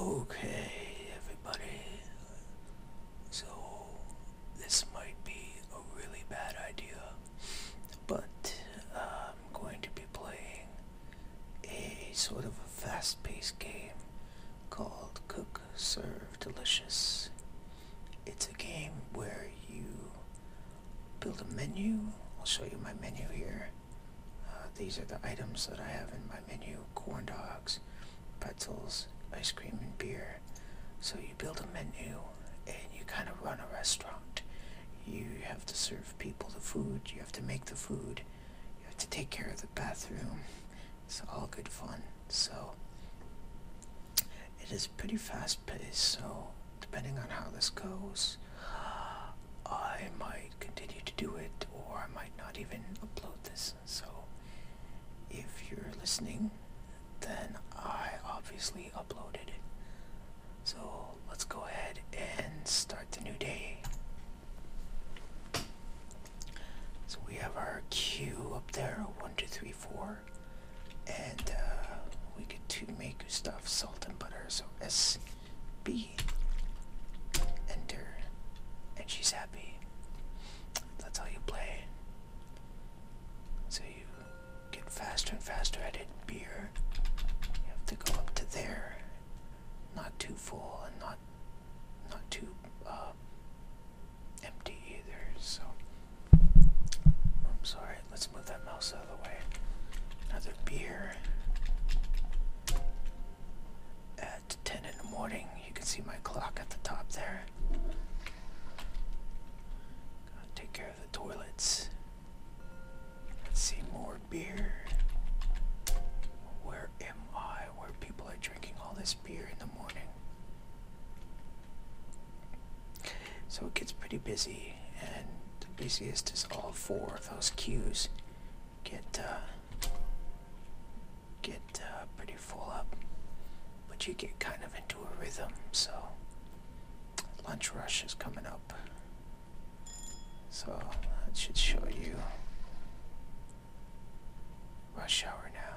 Okay, everybody. So, this might be a really bad idea, but I'm going to be playing a sort of a fast paced game called Cook Serve Delicious. It's a game where you build a menu. I'll show you my menu here. Uh, these are the items that I have in my menu. Corn dogs, pretzels, ice cream, and beer. So you build a menu and you kind of run a restaurant. You have to serve people the food. You have to make the food. You have to take care of the bathroom. It's all good fun. So it is pretty fast paced. So depending on how this goes, I might continue to do it or I might not even upload this. So if you're listening, then I obviously uploaded it. So let's go ahead and start the new day. So we have our queue up there, one, two, three, four and uh, we get two Meku stuff, salt and butter, so SB, enter, and she's happy. That's how you play. So you get faster and faster at it. Beer, you have to go up to there, not too full and not not too uh, empty either. So I'm sorry, let's move that mouse out of the way. Another beer. At 10 in the morning, you can see my clock at the top there. Gotta take care of the toilets. Let's see more beer. Where am I? Where people are drinking all this beer in the morning? So it gets pretty busy, and the busiest is all four of those queues get uh, get uh, pretty full up, but you get kind of into a rhythm. So lunch rush is coming up, so that should show you rush hour now.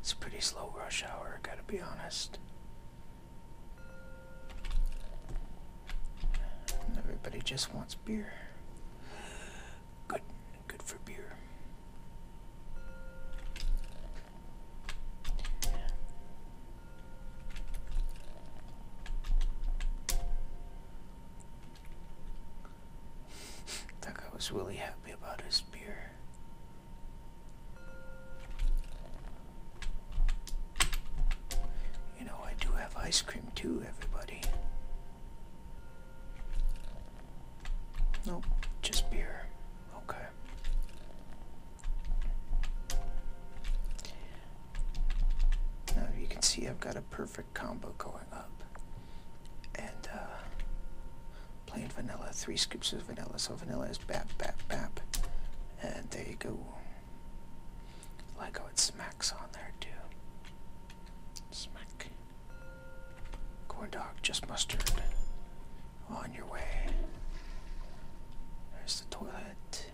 It's a pretty slow rush hour, gotta be honest. Everybody just wants beer. Good, good for beer. That guy was really happy about his beer. You know, I do have ice cream too, everybody. Nope, just beer. Okay. Now you can see I've got a perfect combo going up. And uh, plain vanilla, three scoops of vanilla. So vanilla is bap, bap, bap. And there you go. Like how it smacks on there too. Smack. Corn dog, just mustard. On your way. There's the toilet.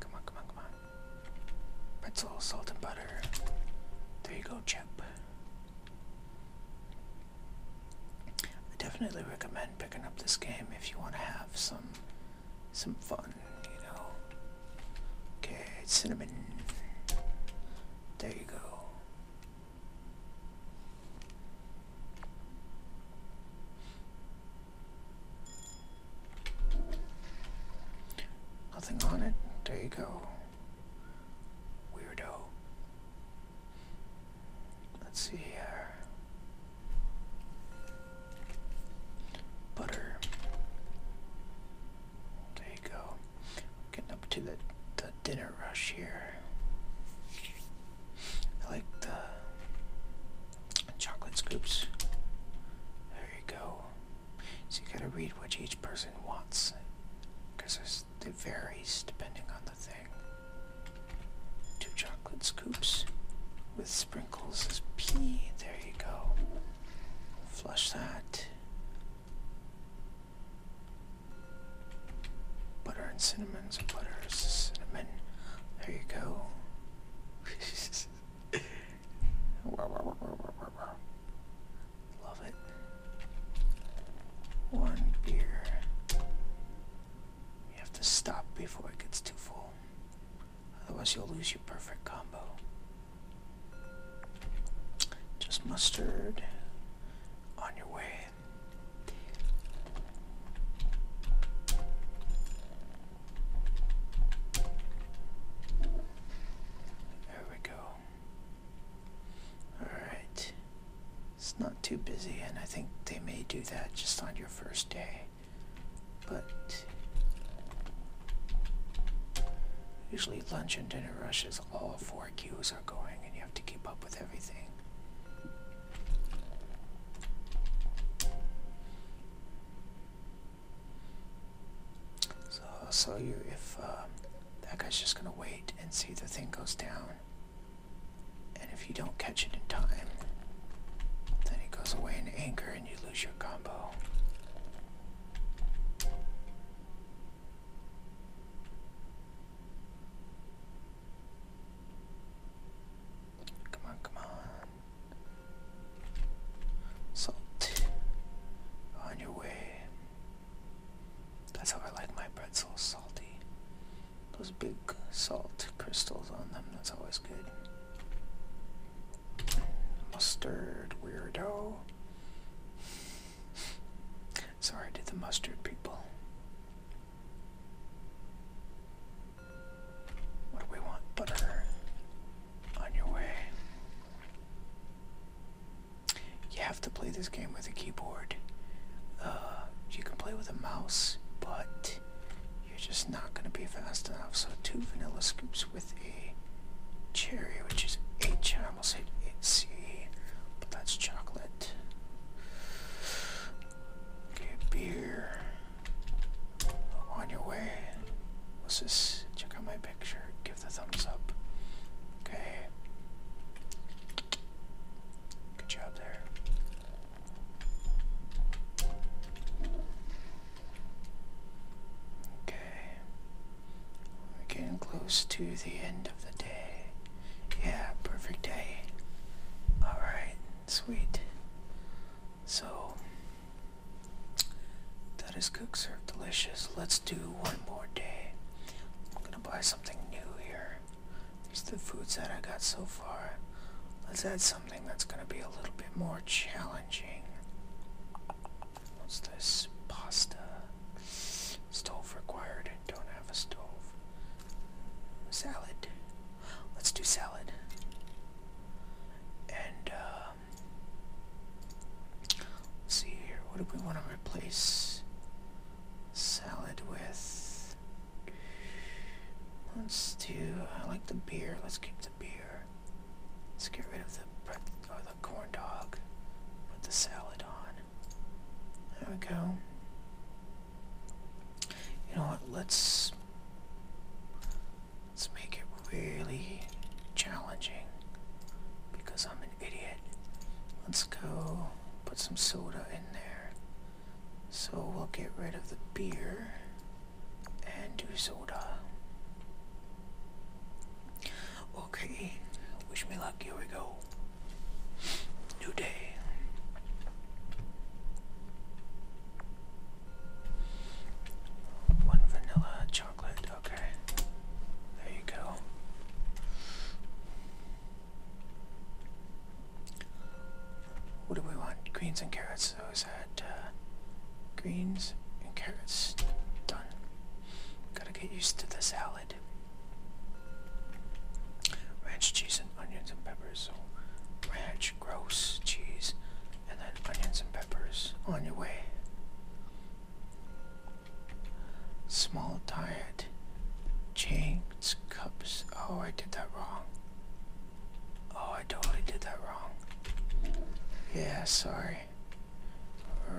Come on, come on, come on. Pretzel, salt, and butter. There you go, Chip. I definitely recommend picking up this game if you want to have some some fun, you know. Okay, cinnamon. There you go. Nothing on it. There you go. Weirdo. Let's see here. Butter. There you go. Getting up to the, the dinner rush here. I like the chocolate scoops. There you go. So you gotta read what each person wants, because it varies depending on the thing. Two chocolate scoops with sprinkles as P. There you go. Flush that. Butter and cinnamon lemons, cinnamon. There you go. Love it. One beer. You have to stop before it gets too full. Otherwise, you'll lose your perfect combo. Just mustard on your way there we go. Alright. It's not too busy, and I think they may do that just on your first day. But usually lunch and dinner rushes, all four queues are going, and you have to keep up with everything. So I'll show you if uh, that guy's just going to wait and see the thing goes down. And if you don't catch it in time, then it goes away in anger and you lose your combo. Come on, come on. Salt. On your way. That's how I like my bread—so salty. Those big salt crystals on them, that's always good. Mustard, weirdo. Sorry to the mustard people. What do we want? Butter. On your way. You have to play this game with a keyboard. Uh, you can play with a mouse, but you're just not going to be fast enough. So two vanilla scoops with a cherry, which is H. I almost said C, but that's chocolate that. Okay, beer. On your way. Let's just check out my picture. Give the thumbs up. Okay. Good job there. Okay. getting close to the end of the day. Yeah, perfect day. Alright, sweet. So, that is cook, serve, delicious. Let's do one more day. I'm gonna buy something new here. These are the foods that I got so far. Let's add something that's gonna be a little bit more challenging. What's this? Pasta. Stove required. Don't have a stove. Salad. Let's do salad. And, um, see here. What do we want to replace salad with? Let's do, I like the beer. Let's keep the beer. Let's get rid of the, or the corn dog. Put the salad on. There we go. You know what? Let's let's make it really challenging because I'm an idiot. Let's go put some soda in there. So we'll get rid of the beer and do soda. Okay, wish me luck. Here we go. New day. One vanilla chocolate. Okay, there you go. What do we want? Greens and carrots. So is that uh, greens and carrots? Done. Gotta get used to the salad. Ranch, cheese, and onions and peppers. So ranch, gross, cheese, and then onions and peppers on your way. Small diet. James cups. Oh, I did that wrong. Oh, I totally did that wrong. Yeah, sorry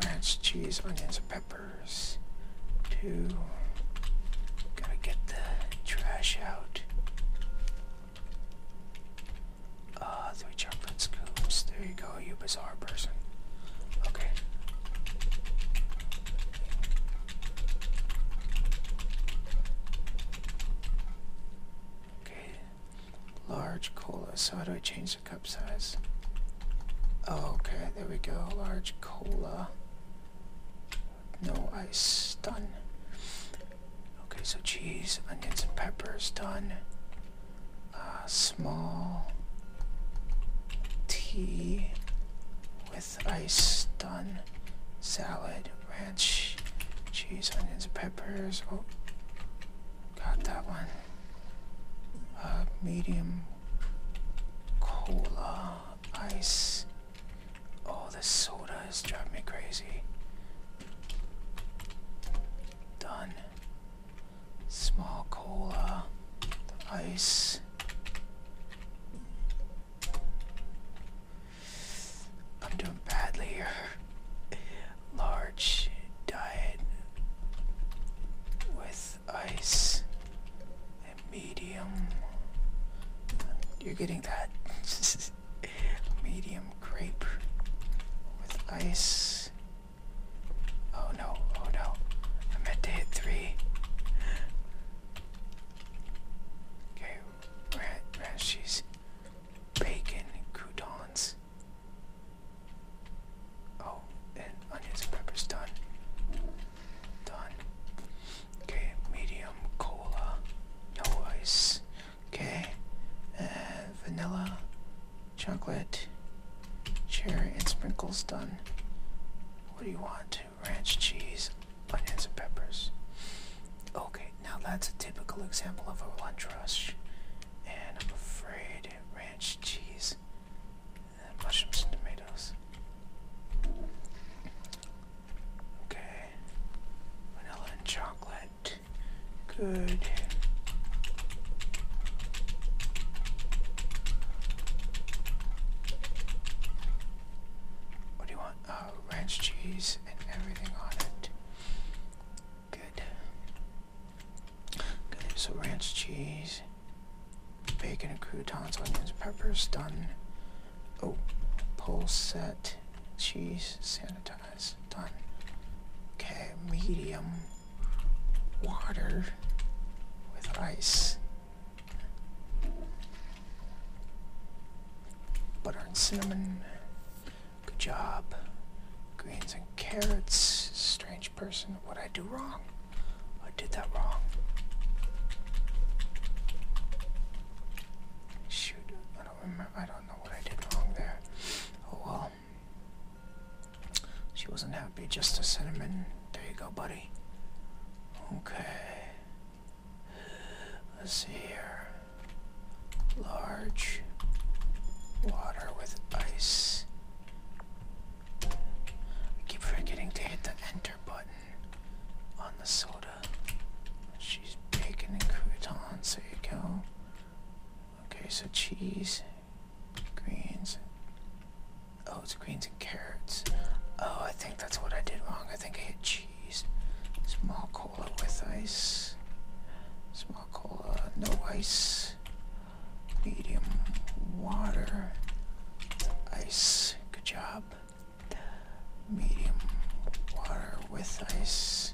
ranch, cheese, onions, and peppers. Two. Gotta get the trash out. Uh, three chocolate scoops. There you go, you bizarre person. Okay. Okay. Large cola. So how do I change cup size. Okay, there we go. Large cola. No ice. Done. Okay, so cheese, onions, and peppers. Done. Uh, small tea with ice. Done. Salad, ranch, cheese, onions, and peppers. Oh, got that one. Uh, medium cola, ice. Oh, this soda is driving me crazy. Done. Small cola, the ice. I'm doing badly here large diet with ice and medium. You're getting that medium grape with ice. Oh no, oh no. I meant to hit three. Okay, rat, rat cheese, bacon, croutons. Oh, and onions and peppers done. Done. Okay, medium cola, no ice. Okay, and vanilla, chocolate, cherry, and sprinkles done. What do you want? Ranch cheese, onions and peppers. Okay, now that's a typical example of a lunch rush and I'm afraid ranch cheese and mushrooms and tomatoes. Okay, vanilla and chocolate. Good. What do you want? Oh, ranch cheese and everything on it. Good. Okay. So ranch cheese, bacon and croutons, onions, peppers, done. Oh, pull set, cheese, sanitize, done. Okay, medium, water with ice. Butter and cinnamon. Good job. Greens and carrots. Strange person. What did I do wrong? I did that wrong. Shoot. I don't remember. I don't know what I did wrong there. Oh well. She wasn't happy. Just a cinnamon. There you go, buddy. Okay. Let's see here large water with ice. I keep forgetting to hit the enter button on the soda. She's bacon and croutons, there you go. Okay, so cheese, greens. Oh, it's greens and carrots. Oh, I think that's what I did wrong. I think I hit cheese. Small cola with ice. Small cola uh, no ice, medium water, ice, good job, medium water with ice,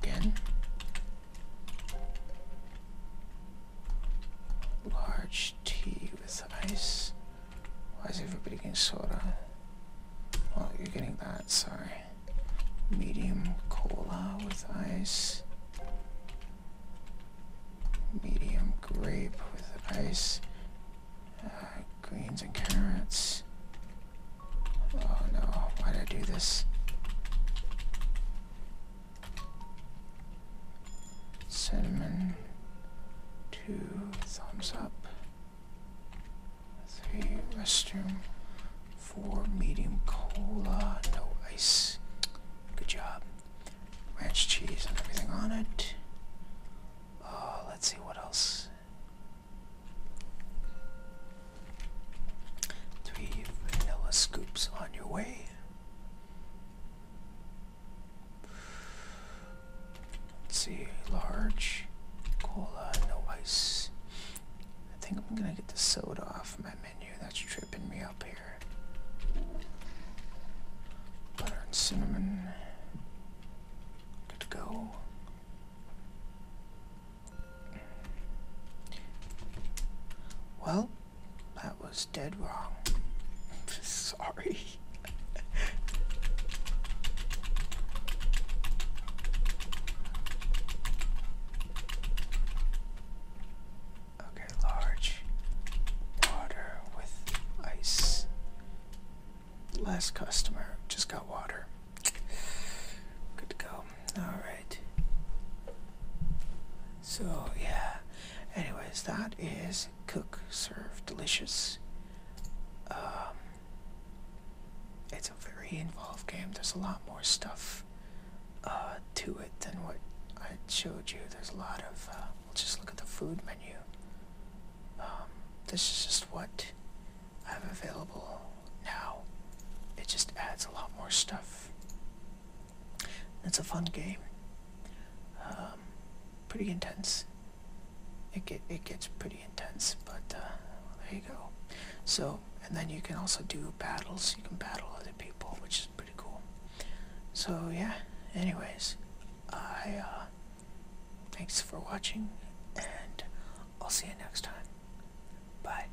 again, large tea with ice, why is everybody getting soda? Oh, you're getting that, sorry. Medium cola with ice. Medium grape with ice. Uh, greens and carrots. Oh no, why did I do this? Cinnamon. Two thumbs up. Three restroom. Four medium cola. No ice. Good job. Ranch cheese and everything on it. Uh, let's see what else. Three vanilla scoops on your way. Let's see, large, cola, no ice. I think I'm gonna get the soda off my menu. That's tripping me up here. Butter and cinnamon. Good to go. Well, that was dead wrong. Sorry. Okay, large water with ice. Last customer just got water. Good to go. Alright. So, yeah. Anyways, that is cook, serve, delicious. Um, it's a very involved game. There's a lot more stuff uh, to it than what I showed you. There's a lot of. Uh, just look at the food menu. Um, this is just what I have available now. It just adds a lot more stuff. It's a fun game. Um, pretty intense it, get, it gets pretty intense, but uh, there you go. So, and then you can also do battles. You can battle other people, which is pretty cool. So yeah, anyways, I, uh, thanks for watching, and I'll see you next time. Bye.